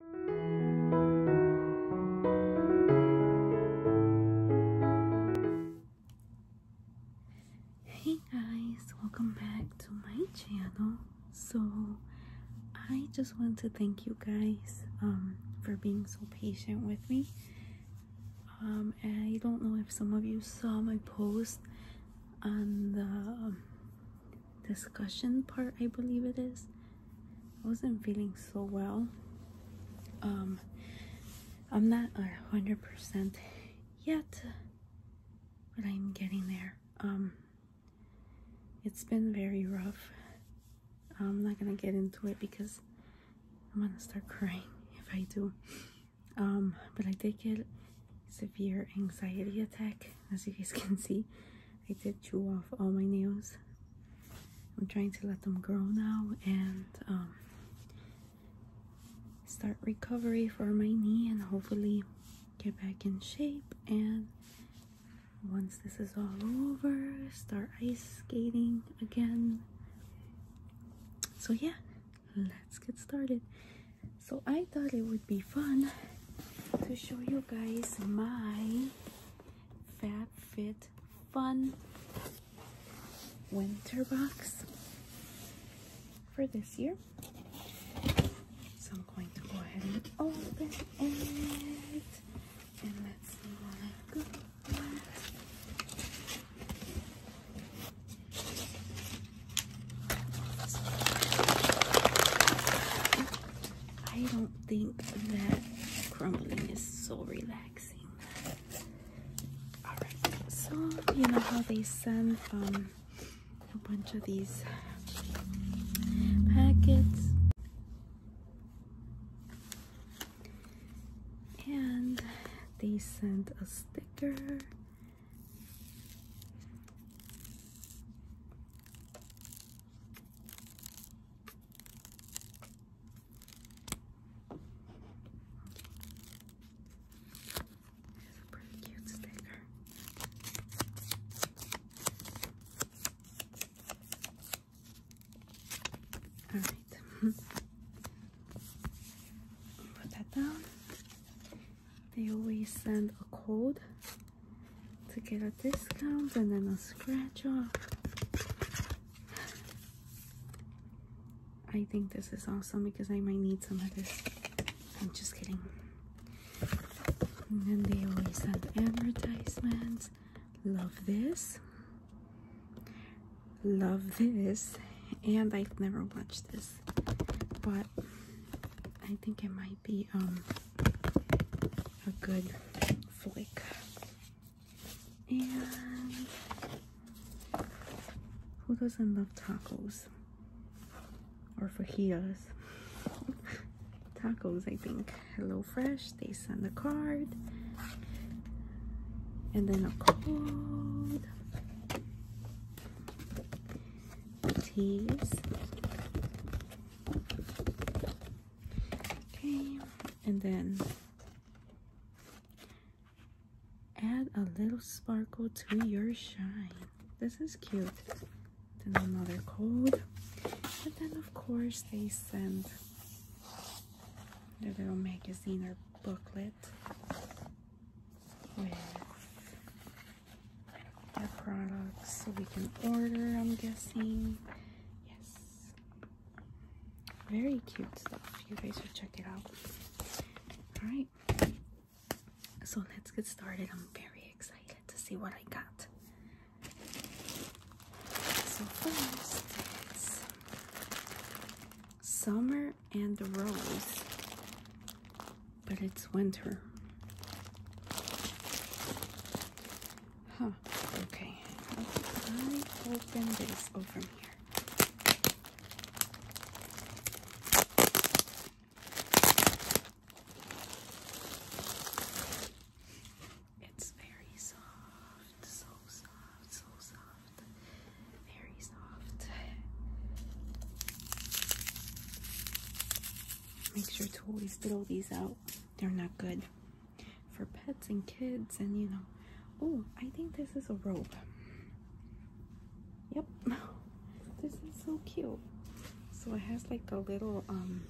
Hey guys, welcome back to my channel. So I just want to thank you guys um, for being so patient with me. Um, I don't know if some of you saw my post on the discussion part, I believe it is. I wasn't feeling so well. Um, I'm not a 100% yet, but I'm getting there. Um, it's been very rough. I'm not gonna get into it because I'm gonna start crying if I do. Um, but I did get a severe anxiety attack, as you guys can see. I did chew off all my nails. I'm trying to let them grow now and um, start recovery for my knee and hopefully get back in shape and once this is all over start ice skating again so yeah let's get started so I thought it would be fun to show you guys my Fab Fit Fun winter box for this year. So I'm going to go ahead and open it. And let's see what I got. I don't do think that crumbling is so relaxing. Alright, so you know how they send um, a bunch of these packets. And they sent a sticker. This a pretty cute sticker. All right. Put that down. They always send a code to get a discount and then a scratch off. I think this is awesome because I might need some of this. I'm just kidding. And then they always have advertisements. Love this. Love this. And I've never watched this. But I think it might be um a good flick. And who doesn't love tacos or fajitas? tacos, I think. Hello Fresh, they send a card. And then a code. Teas and then add a little sparkle to your shine. This is cute. Then another code. And then of course they send their little magazine or booklet with their products so we can order I'm guessing yes very cute stuff. You guys should check it out. Alright. So let's get started. I'm very excited to see what I got. So first it's Summer and the Rose. But it's winter. Huh, okay. I open this over here. It's very soft, so soft, so soft, very soft. Make sure to always throw these out, they're not good for pets and kids and you know oh i think this is a robe yep this is so cute so it has like a little um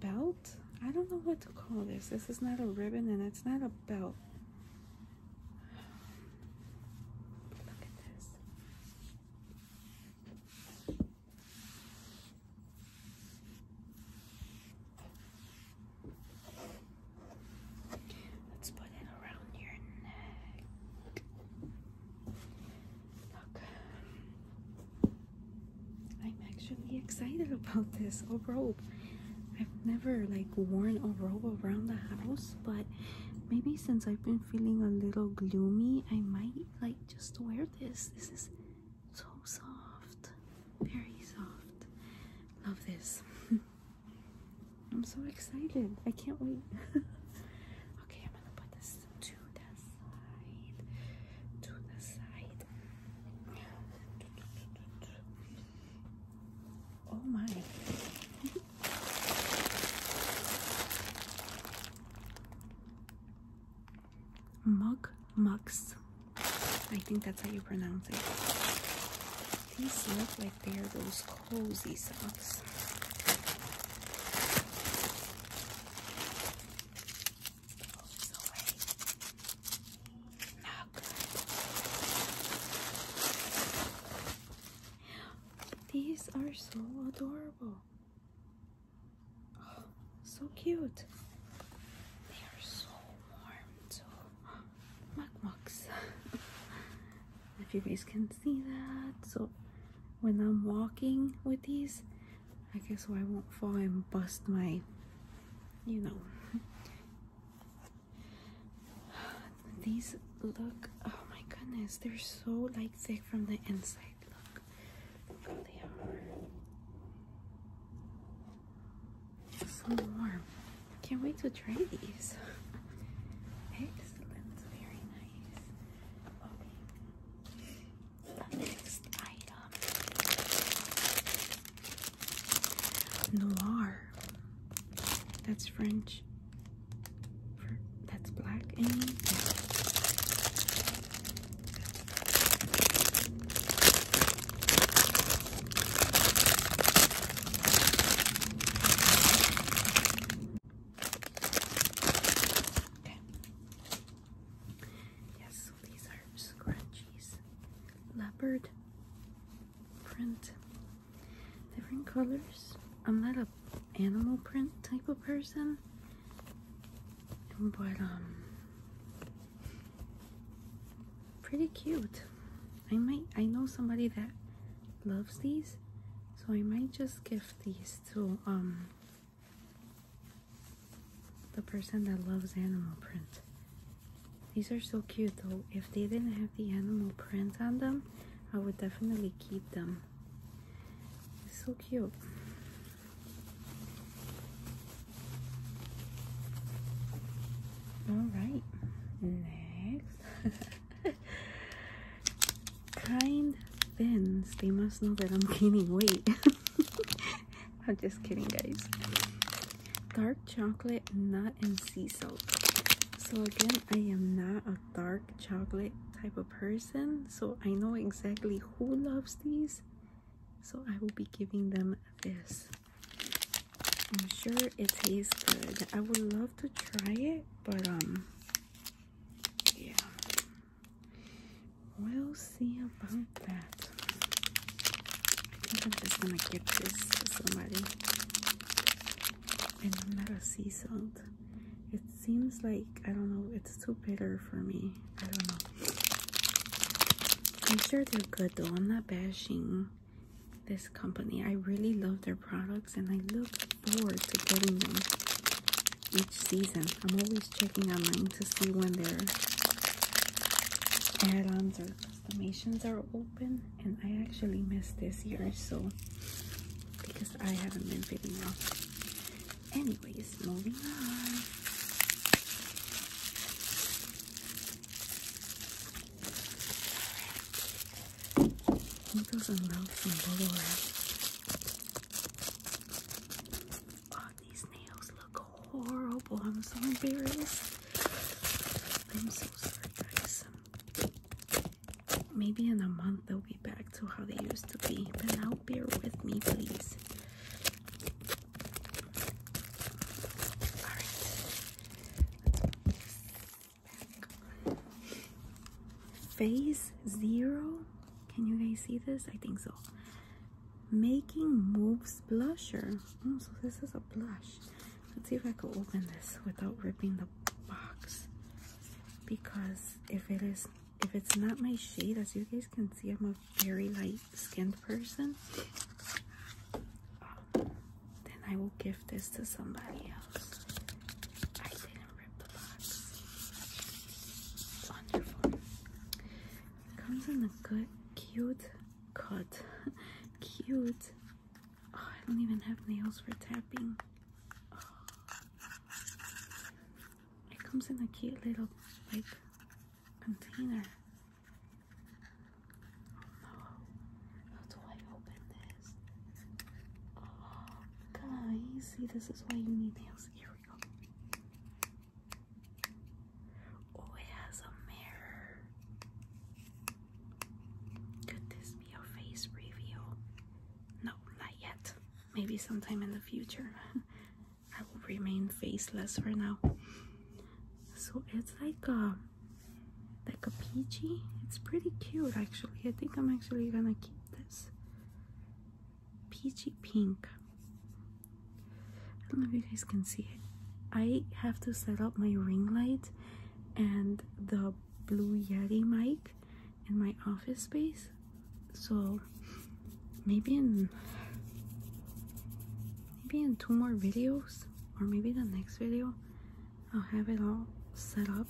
belt i don't know what to call this this is not a ribbon and it's not a belt look at this Let's put it around your neck. Look, I'm actually excited about this a robe. I've never like worn a robe around the house, but maybe since I've been feeling a little gloomy, I might like just wear this. This is so soft, very soft. Love this. I'm so excited. I can't wait. okay, I'm gonna put this to the side. To the side. Oh my. Mug Mux. I think that's how you pronounce it. These look like they are those cozy socks. These are so adorable. Oh, so cute. They are so warm too. Mukmuks. if you guys can see that. So when I'm walking with these, I guess so I won't fall and bust my, you know. these look, oh my goodness, they're so like thick from the inside. Look. There they So warm. Can't wait to try these. Excellent. Very nice. Okay. The next item. Noir. That's French. that's black. Yes, so these are scrunchies. Leopard print. Different colors. I'm not a animal print type of person. But um Pretty cute. I might, I know somebody that loves these, so I might just gift these to um the person that loves animal print. These are so cute though. If they didn't have the animal print on them, I would definitely keep them. so cute. All right, next. kind fins. They must know that I'm gaining weight. I'm just kidding, guys. Dark chocolate, nut, and sea salt. So again, I am not a dark chocolate type of person, so I know exactly who loves these so I will be giving them this. I'm sure it tastes good. I would love to try it, but um yeah. We'll see about that. I think I'm just gonna give this to somebody. And I'm not a sea salt. It seems like I don't know, it's too bitter for me. I don't know. I'm sure they're good though. I'm not bashing this company. I really love their products and I look forward to getting them each season. I'm always checking online to see when their add-ons or customizations are open and I actually missed this year so because I haven't been fitting well. Anyways, please. Moving on. Needles and bubble wrap. Oh, these nails look horrible. I'm so embarrassed. I'm so sorry, guys. Maybe in a month they'll be back to how they used to be, but now bear with me, please. Phase zero. Can you guys see this? I think so. Making Moves Blusher. Oh, so this is a blush. Let's see if I can open this without ripping the box. Because if it is if it's not my shade, as you guys can see, I'm a very light skinned person, then I will give this to somebody else. I didn't rip the box. Wonderful. comes in a good, cute cut. cute. Oh, I don't even have nails for tapping. It comes in a cute little like container. Oh How do I open this? Oh, guys, see, this is why you need nails. Here we go. Oh, it has a mirror. Could this be a face reveal? No, not yet. Maybe sometime in the future. I will remain faceless for now. So it's like a um, like a peachy. It's pretty cute actually. I think I'm actually gonna keep this peachy pink. I don't know if you guys can see it. I have to set up my ring light and the blue yeti mic in my office space so maybe in maybe in two more videos or maybe the next video I'll have it all set up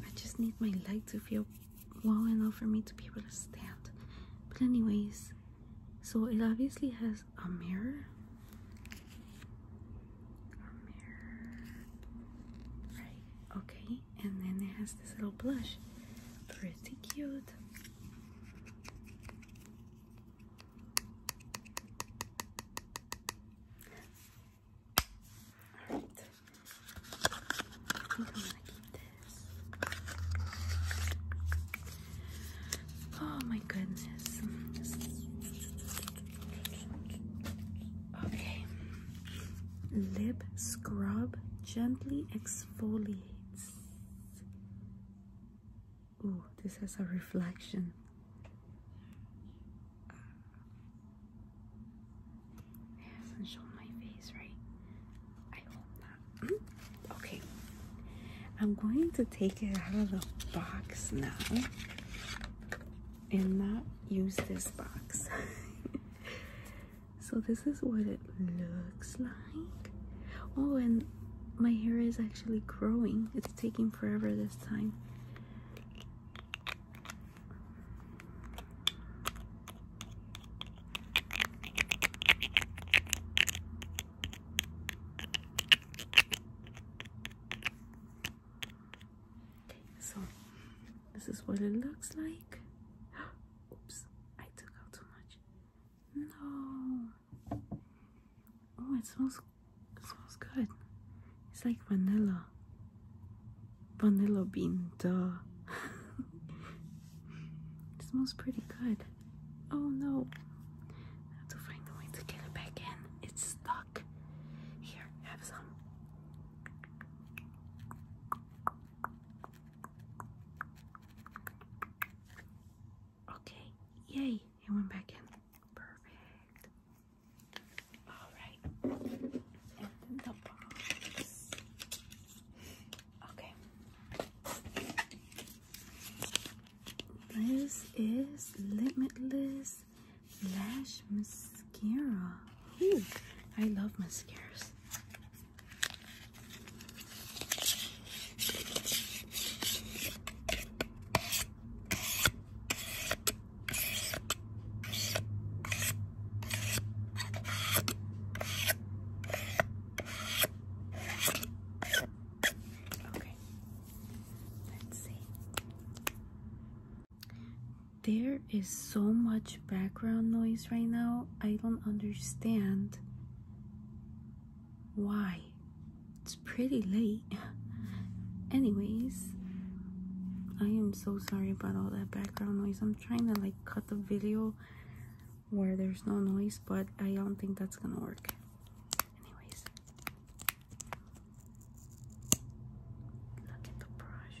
I just need my leg to feel well enough for me to be able to stand but anyways so it obviously has a mirror a mirror right okay and then it has this little blush pretty cute Oh my goodness. Okay. Lip scrub gently exfoliates Oh, this has a reflection. Uh, it has my face, right? I hope not. okay, I'm going to take it out of the box now and not use this box. so, this is what it looks like. Oh, and my hair is actually growing. It's taking forever this time. so this is what it looks like. Oops, I took out too much. No. Oh, it smells it smells good. It's like vanilla. Vanilla bean, duh. it smells pretty good. Oh no. I have to find a way to get it back in. It's stuck. Here, have some. Okay, yay, it went back in. Perfect. Alright, Okay. This is Limitless Lash Mascara. Ooh, I love mascaras. Okay, let's see. There is so much background noise right now, I don't understand why. It's pretty late. Anyways, I am so sorry about all that background noise. I'm trying to like cut the video where there's no noise, but I don't think that's gonna work. Anyways, look at the brush.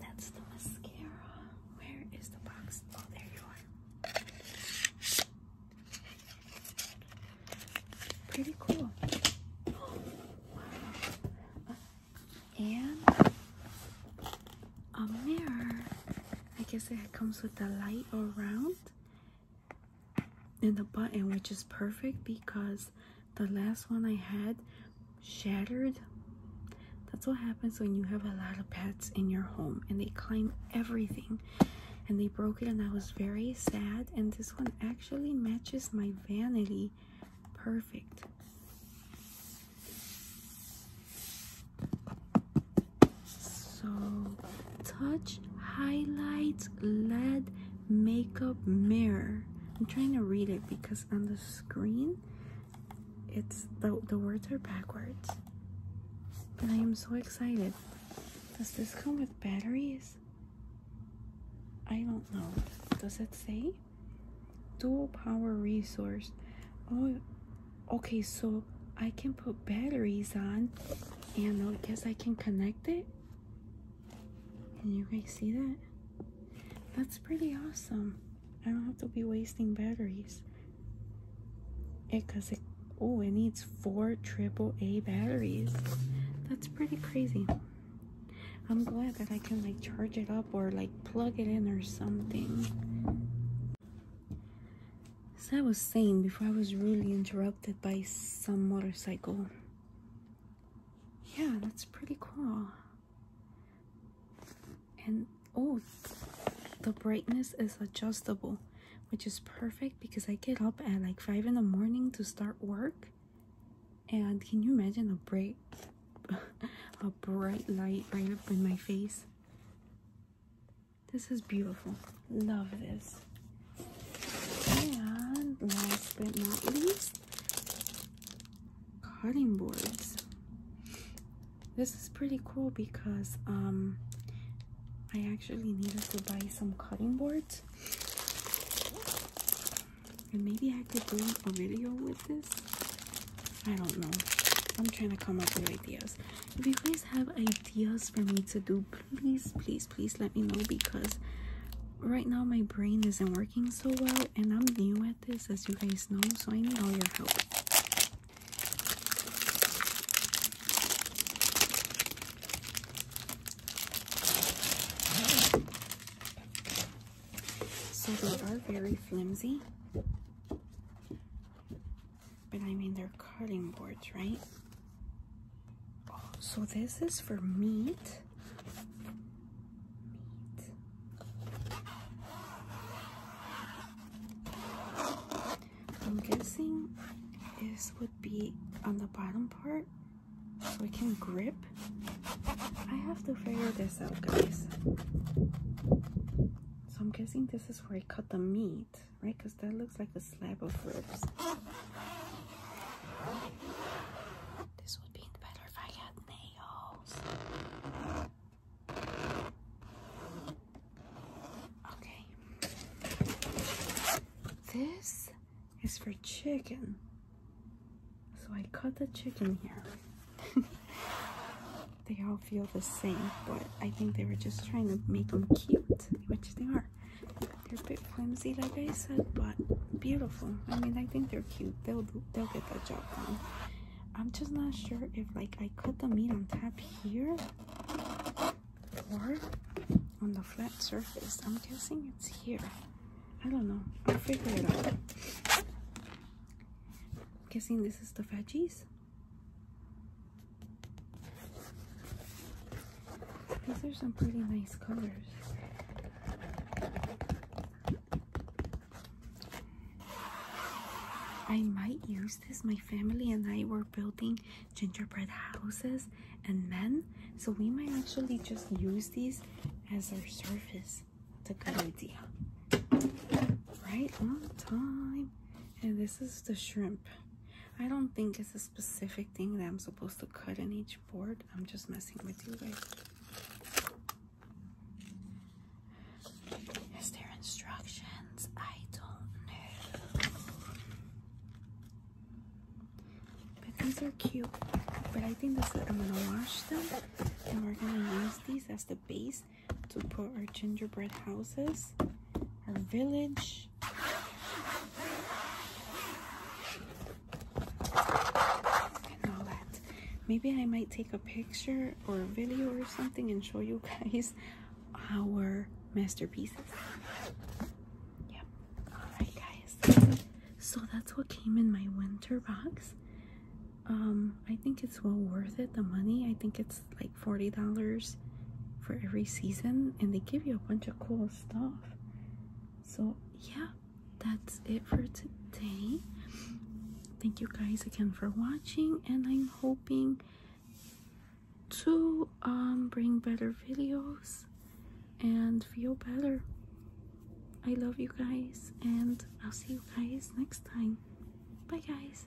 That's the mascara. Where is the box? Oh, there you are. Pretty cool. wow. And a mirror. I guess it comes with the light around and the button, which is perfect because the last one I had shattered. That's what happens when you have a lot of pets in your home and they climb everything and they broke it and I was very sad and this one actually matches my vanity perfect so touch, highlight LED makeup, mirror. I'm trying to read it because on the screen, it's the, the words are backwards. But I am so excited. Does this come with batteries? I don't know. Does it say? Dual power resource. Oh, okay so i can put batteries on and i guess i can connect it can you guys see that that's pretty awesome i don't have to be wasting batteries it because it oh it needs four AAA batteries that's pretty crazy i'm glad that i can like charge it up or like plug it in or something as I was saying before, I was really interrupted by some motorcycle. Yeah, that's pretty cool. And oh, the brightness is adjustable, which is perfect because I get up at like 5 in the morning to start work. And can you imagine a bright, a bright light right up in my face? This is beautiful. Love this. And last but not least, cutting boards. This is pretty cool because um, I actually needed to buy some cutting boards. And maybe I could do a video with this. I don't know. I'm trying to come up with ideas if you guys have ideas for me to do please please please let me know because right now my brain isn't working so well and i'm new at this as you guys know so i need all your help so they are very flimsy but I mean, they're cutting boards, right? Oh, so this is for meat. I'm guessing this would be on the bottom part so we can grip. I have to figure this out, guys. So I'm guessing this is where I cut the meat right? Because that looks like a slab of ribs. This would be better if I had nails. Okay. This is for chicken. So I cut the chicken here. they all feel the same, but I think they were just trying to make them cute, which they are. They're a bit flimsy, like I said, but beautiful. I mean, I think they're cute. They'll they'll get that job done. I'm just not sure if like I cut the meat on top here or on the flat surface. I'm guessing it's here. I don't know. I'll figure it out. I'm guessing this is the veggies. These are some pretty nice colors. I might use this. My family and I were building gingerbread houses and men, so we might actually just use these as our surface. That's a good idea. Right on time. And this is the shrimp. I don't think it's a specific thing that I'm supposed to cut in each board. I'm just messing with you guys. Is there instructions? I don't know. But these are cute. But I think that's it. I'm gonna wash them and we're gonna use these as the base to put our gingerbread houses, our village. and all that. Maybe I might take a picture or a video or something and show you guys our masterpieces. Yep. Alright guys. So that's what came in my winter box. Um, I think it's well worth it, the money. I think it's like $40 for every season and they give you a bunch of cool stuff so yeah that's it for today thank you guys again for watching and i'm hoping to um, bring better videos and feel better i love you guys and i'll see you guys next time bye guys